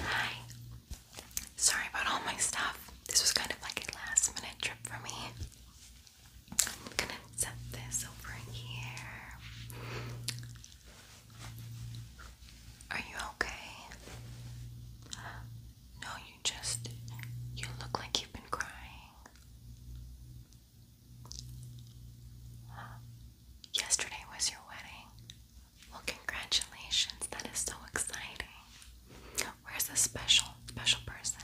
Hi. Sorry about all my stuff. This was kind of like a last minute trip for me. I'm gonna set this over here. Are you okay? No, you just, you look like you've been crying. Yesterday was your wedding. Well, congratulations. That is so exciting. Where's the special, special person?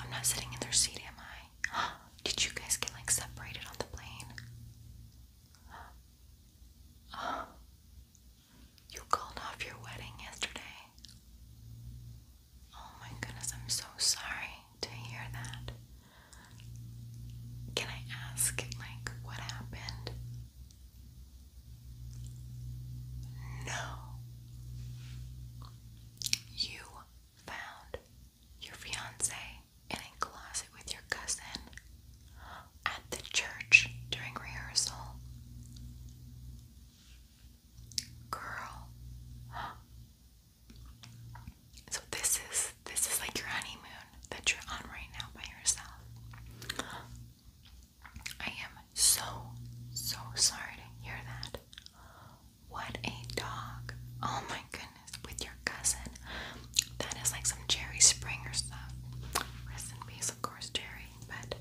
I'm not sitting in their seat, am I? Did you guys get like separated on the plane? you called off your wedding yesterday. Oh my goodness, I'm so sorry to hear that. Can I ask, like, what happened? No. You found your fiance in a closet with your cousin at the church during rehearsal. Girl. So this is this is like your honeymoon that you're on right now by yourself. I am so so sorry to hear that. What a dog. Oh my goodness with your cousin. That is like some Jerry Springer stuff. Rest in peace, of course, Jerry. But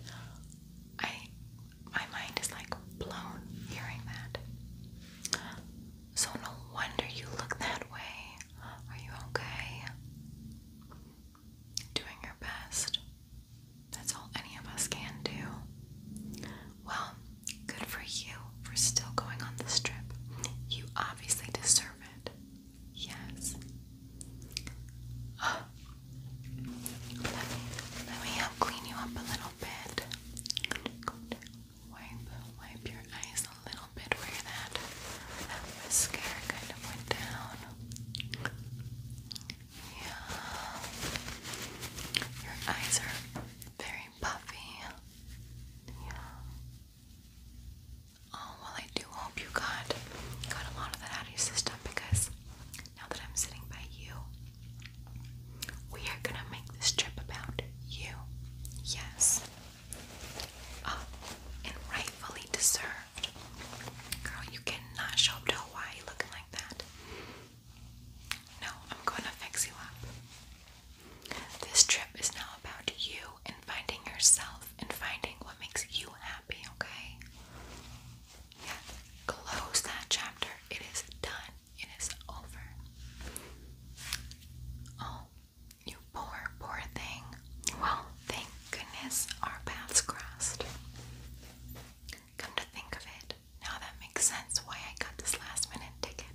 I, my mind is like blown hearing that. So no wonder you look that way. Are you okay? Doing your best. That's all any of us can do. Well, good for you for still going on this trip. You obviously deserve it. Yes. Oh. Let me, let me help clean you up a little bit. Wipe, wipe your eyes a little bit where that mascara kind of went down. Yeah. Your eyes are very puffy. Yeah. Oh well, I do hope you got got a lot of that out of your system because now that I'm sitting by you, we are gonna make this trip about you. Yes. Uh, and rightfully deserved. Girl, you cannot show up to Hawaii looking like that. No, I'm gonna fix you up. This trip is now about you and finding yourself and finding what makes you happy, okay? Yeah, close that chapter. It is done. It is over. Oh, you poor, poor thing. Well, thank goodness our paths crossed. Come to think of it, now that makes sense why I got this last minute ticket.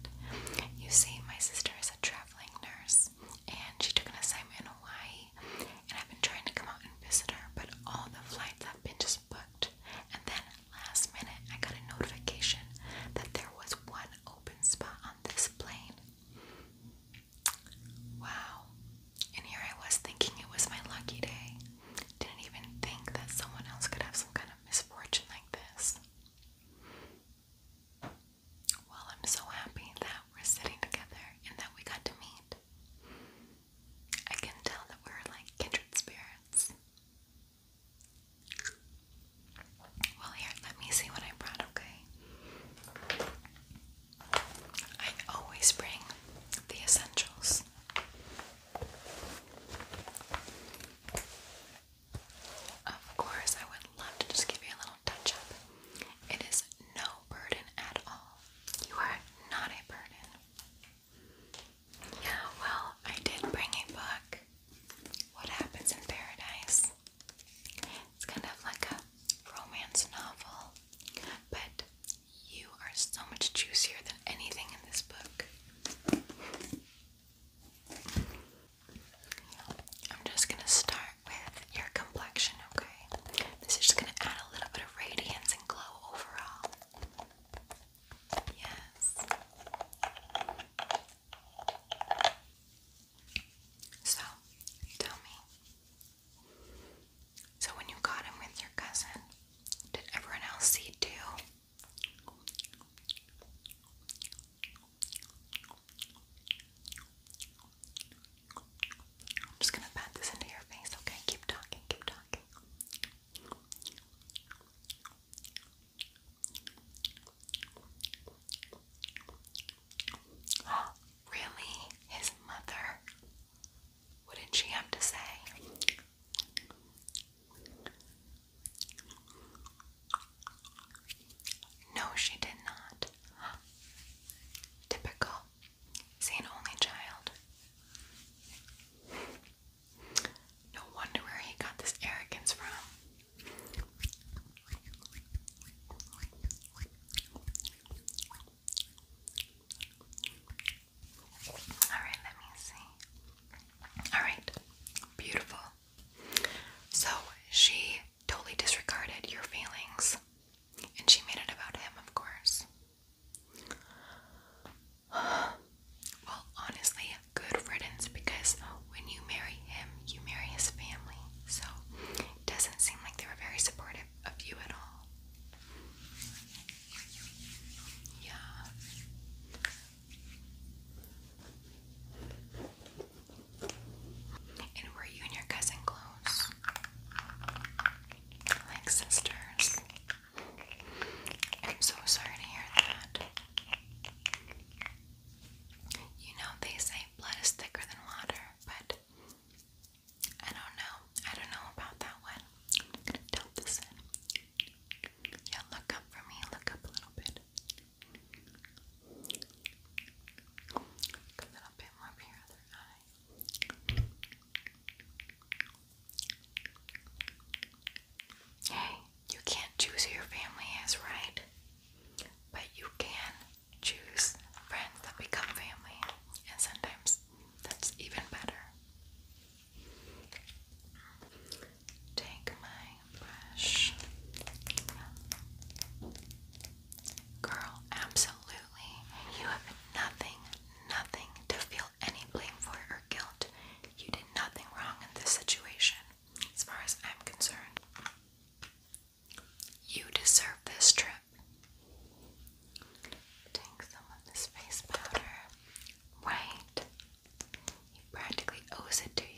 You see, my sister is a travel nurse and she took an assignment in Hawaii and I've been trying to come out and visit her but all the flights have been just booked and then last minute I got a notification that there was one open spot on this plane. Wow. And here I was thinking it was my lucky day. Didn't even think that someone else could have some kind of misfortune like this. Well, I'm so happy that we're sitting together and that we got to meet. I can tell that we're like kindred spirits. Well, here, let me see what I brought, okay? I always bring the essentials. Of course, I would love to just give you a little touch up. It is no burden at all. You are not a burden. Yeah, well, I did bring a book. What happens in paradise? It's kind of like a romance novel, but you are so much juicier than anything in this book. I'm just gonna start with your complexion, okay? This is just gonna add a little bit of radiance and glow overall. Yes. So, tell me. So, when you got him with your cousin, did everyone else see too? I'm just gonna pat this into your face, okay? Keep talking, keep talking. Oh, really? His mother? What did she have to say? No, she did not. Typical. Is only child? No wonder where he got this arrogance from. Alright, let me see. Alright, beautiful. So she totally disregarded your feelings. And she made it about him, of course. Well, honestly, good riddance because when you marry him, you marry his family. So it doesn't seem like they were very supportive of you at all. Yeah. And were you and your cousin close? Like sisters? I'm so sorry to hear that. You know, they say blood is thicker than water, but I don't know. I don't know about that one. Yeah, look up for me. Look up a little bit a Hey, you can't choose who your family is, right? But you can choose friends that become family, and sometimes that's even better. Take my Girl, absolutely. You have nothing, nothing to feel any blame for or guilt. You did nothing wrong in this situation, as far as I'm concerned. You deserve this trip. Take some of this face powder. Right. He practically owes it to you.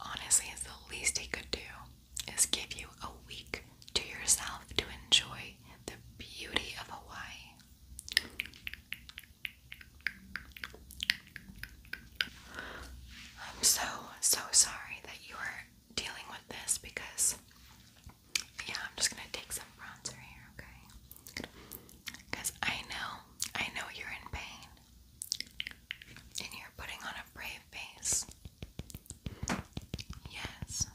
Honestly, it's the least he could do is give you a week to yourself to enjoy the beauty of Hawaii. I'm so, so sorry that you are dealing with this because yeah, I'm just gonna take some bronzer here, okay? Because I know, I know you're in pain. And you're putting on a brave face. Yes.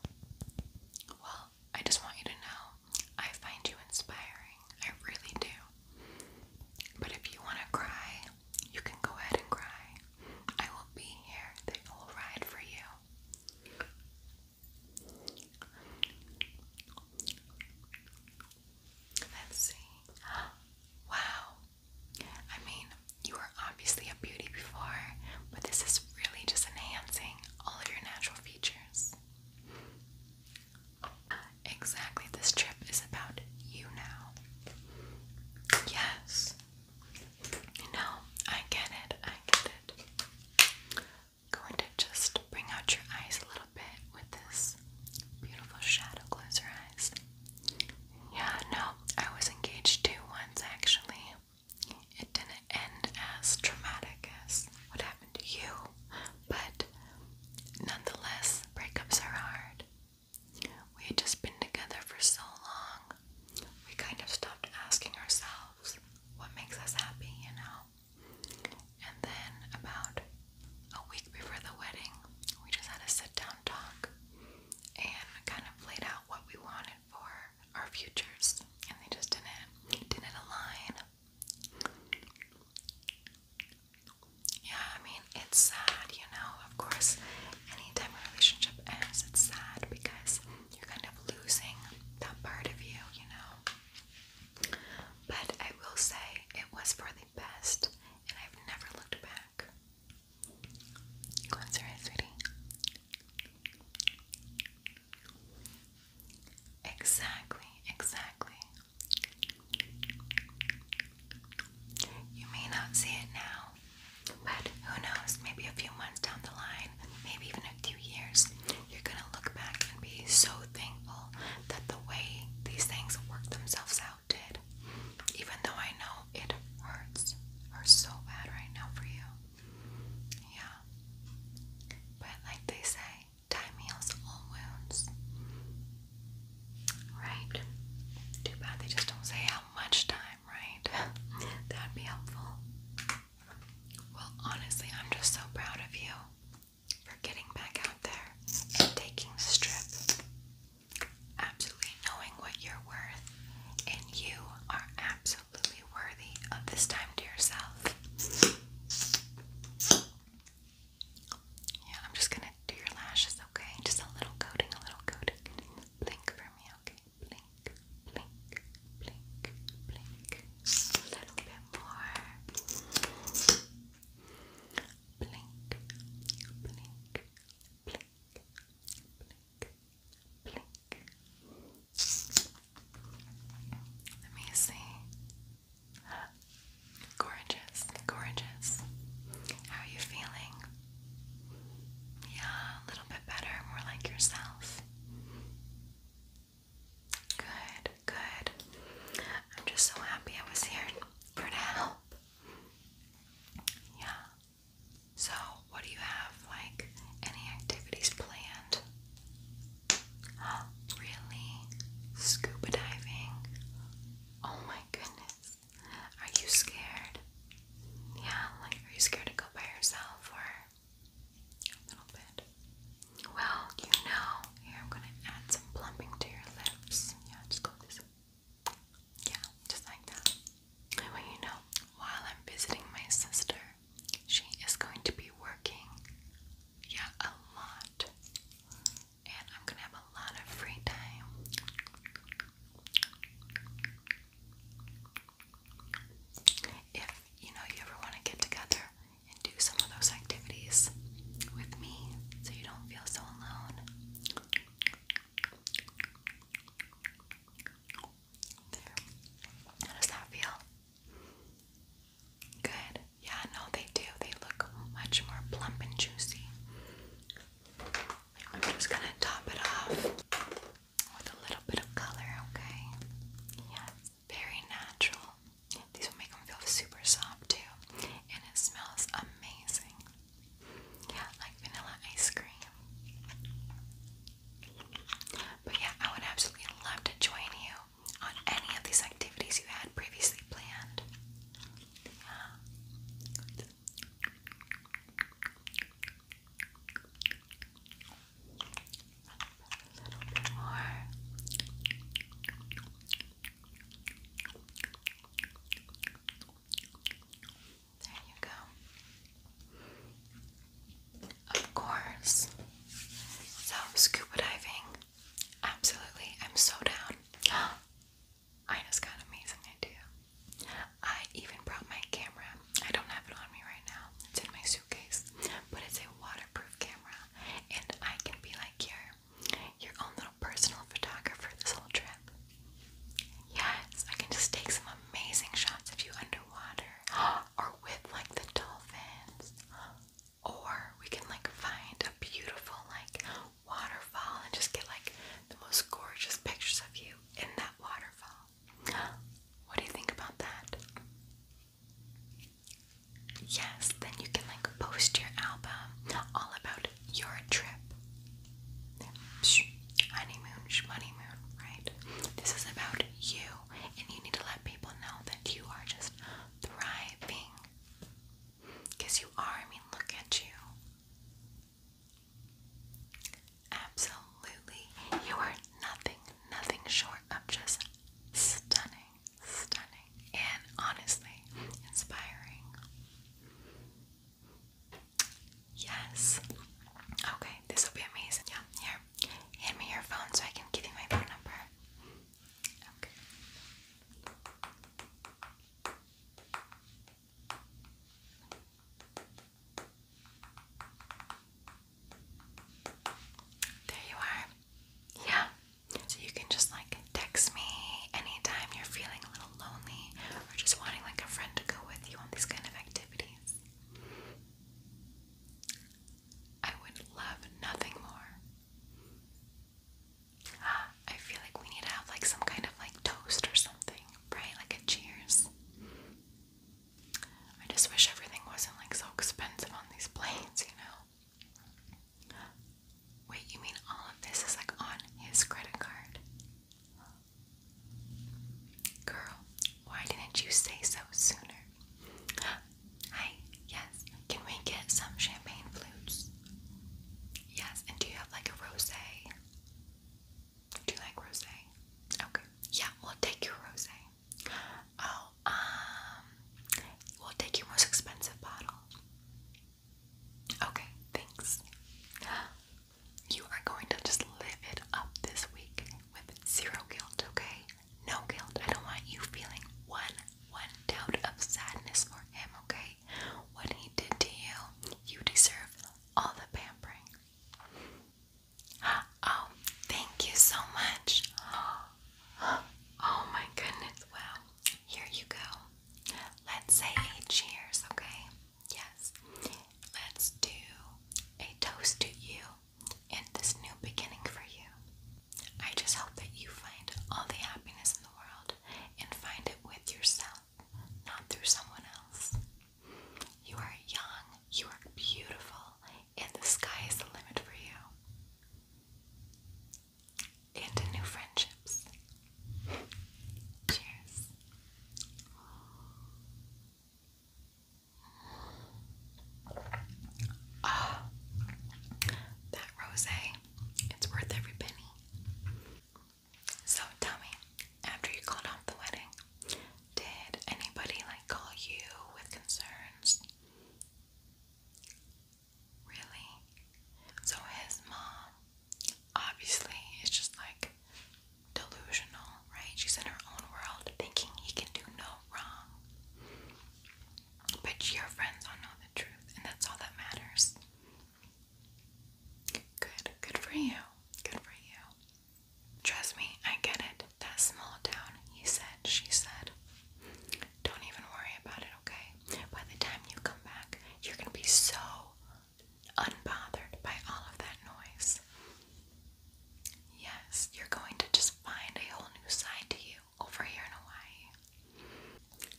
Well, I just want you to know I find you inspiring. I really do. But if you want to cry, you can go ahead and cry. I will be here. They will ride for you. Let's see. Wow. I mean, you were obviously a beauty before, but this is really just enhancing all of your natural features. Exactly, this trip is about you now. Yes. No, I get it. I get i going to just bring out your eyes a little bit with this beautiful shadow. Close your eyes. Yeah, no, I was engaged to once actually. It didn't end as traumatic as what happened to you, but nonetheless, breakups are hard. We had just been together for so long, we kind of stopped asking ourselves what makes us happy, you know. And then about a week before the wedding, we just had a sit down talk and kind of laid out what we wanted for our futures, and they just didn't didn't align. Yeah, I mean, it's sad, you know. Of course, anytime a relationship ends, it's sad because you're kind of losing that part of you, you know. But I will say it was for the best, and I've never looked back. Cleanse your eyes, sweetie. Exactly, exactly. You may not see it now, but who knows, maybe a few months down the line, maybe even a few years, you're gonna look back and be so thankful that the way these things work themselves out did. Even though I know it hurts, are so bad right now for you. Yeah. But like they say, time heals all wounds. Right? Too bad they just don't say how much time, right? That'd be helpful. Well, honestly, I'm just so proud of you for getting back out there and taking the strip. Absolutely knowing what you're worth, and you are absolutely worthy of this time to yourself. Yeah, I'm just gonna do your lashes, okay? Just a little coating, a little coating. Blink for me, okay? blink, blink, blink, blink. A little bit more. Blink, blink, blink, blink, blink. Let me see. Gorgeous, gorgeous. How are you feeling? Yeah, a little better, more like yourself. Good, good. I'm just so happy I was here for help. Yeah. So, what do you have? Like, any activities planned? Really? Scuba diving? Oh my goodness. Are you scared? Yeah, like, are you scared to go by yourself or a little bit. Well, you know, here I'm gonna add some plumping to your lips. Yeah, just go this. Yeah, just like that. well, you know, while I'm visiting my sister, she is going to be working, yeah, a lot. And I'm gonna have a lot of free time. If you know you ever want to get together and do some of those activities with me so you don't feel so alone. How does that feel? Good. Yeah, no, they do. They look much more plump and juicy. I'm just gonna top it off with a little bit of color, okay? Yeah, it's very natural. These will make them feel super soft too, and it smells amazing. Yeah, like vanilla ice cream. But yeah, I would absolutely love to join you on any of these activities you had previously planned. Yeah. Uh, there you go. Of course. So, scuba diving. Absolutely. I'm so down. I just got an amazing idea. I even brought my camera I don't have it on me right now. It's in my suitcase, but it's a waterproof camera, and I can be like your your own little personal photographer this whole trip. Yes, I can just take some amazing shots of you underwater, or with like the dolphins, or we can like find a beautiful like waterfall and just get like the most gorgeous pictures of you in that waterfall. What do you think about that? Yes, then you can like post your album all about your trip. honeymoon, honeymoon, right? This is about you, and you need to let people know that you are just thriving. Because you are, I mean, look at you. Absolutely. You are nothing, nothing short of just stunning, stunning, and honestly inspiring. Yes. Okay, this will be amazing. Yeah, here. Hand me your phone so I can give you my phone number. Okay. There you are. Yeah. So you can just like text me anytime you're feeling a little lonely or just wanting like a friend to go with you on these kind of activities. I would love nothing more. Ah, I feel like we need to have like some kind of like toast or something, right? Like a cheers. I just wish everything wasn't like so expensive on these planes, you know? Wait, you mean all of this is like on his credit card? Girl, why didn't you say so sooner? Hi, yes. Can we get some champagne flutes? Yes, and do you have like a rosé? Do you like rosé? Okay. Yeah, we'll take your rosé. Oh, um, we'll take your most expensive bottle. Okay, thanks. You are going to just live it up this week with zero guilt, okay? No guilt. I don't want you feeling one, one doubt of sadness for him, okay? What he did to you, you deserve all the pampering. Oh, thank you so much. Oh my goodness. Well, here you go. Let's say cheers, okay? Yes. Let's do a toast to you and this new beginning for you. I just hope that you find all the happiness in the world and find it with yourself, not through someone else. You are young, you are beautiful, and the sky is the limit for you. And new friendships. Cheers. Ah, that rosé, it's worth every penny. So tell me, after you called off the wedding, did anybody like call you with concerns? Really? So his mom obviously is just like delusional, right? She's in her own world thinking he can do no wrong. But your friends don't know the truth, and that's all that matters. Good. Good for you. Good for you. Trust me, I get it. That small town, he said, she said. Don't even worry about it, okay? By the time you come back, you're gonna be so unbothered by all of that noise. Yes, you're going to just find a whole new side to you over here in Hawaii.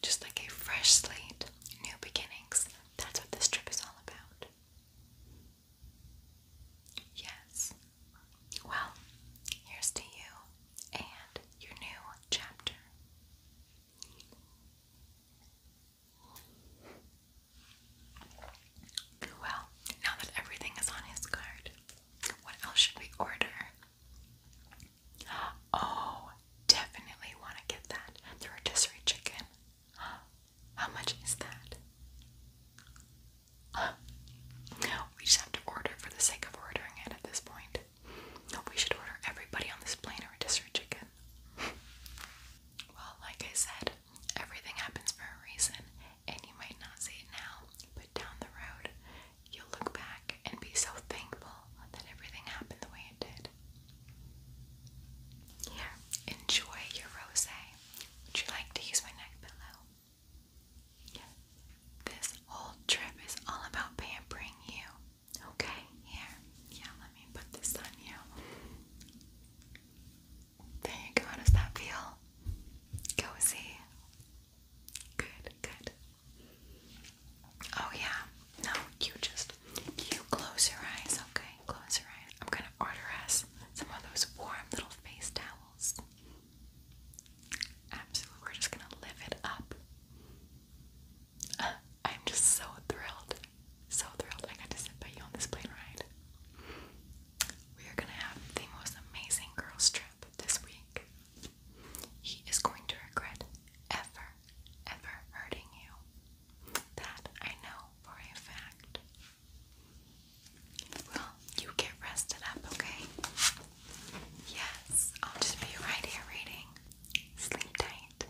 Just like a fresh slate, new beginnings. That's what this trip is all about. Yes. Well, here's to you and your new chapter. Well, now that everything is on his card, what else should we order? Oh, definitely want to get that. The rotisserie chicken. How much is that? we just have to order for the sake of ordering it at this point. We should order everybody on this plane a rotisserie chicken. well, like I said, everything happens for a reason, and you might not see it now, but down the road, you'll look back and be so thankful that everything happened the way it did. Here, enjoy your rosé. Would you like to use my neck pillow? Yeah. This whole trip is all about pampering you. Okay, here. Yeah, let me put this on you. There you go. does that feel? Cozy. Good, good. Oh yeah. No, you just you close your eyes, okay? close your eye. I'm gonna order us some of those warm little face towels. Absolutely, we're just gonna live it up. Uh, I'm just so thrilled, so thrilled I got to sit by you on this plane ride. We are gonna have the most amazing girls trip this week. He is going to regret ever, ever hurting you. That I know for a fact. Well, you get rested up, okay? Yes, I'll just be right here reading. Sleep tight.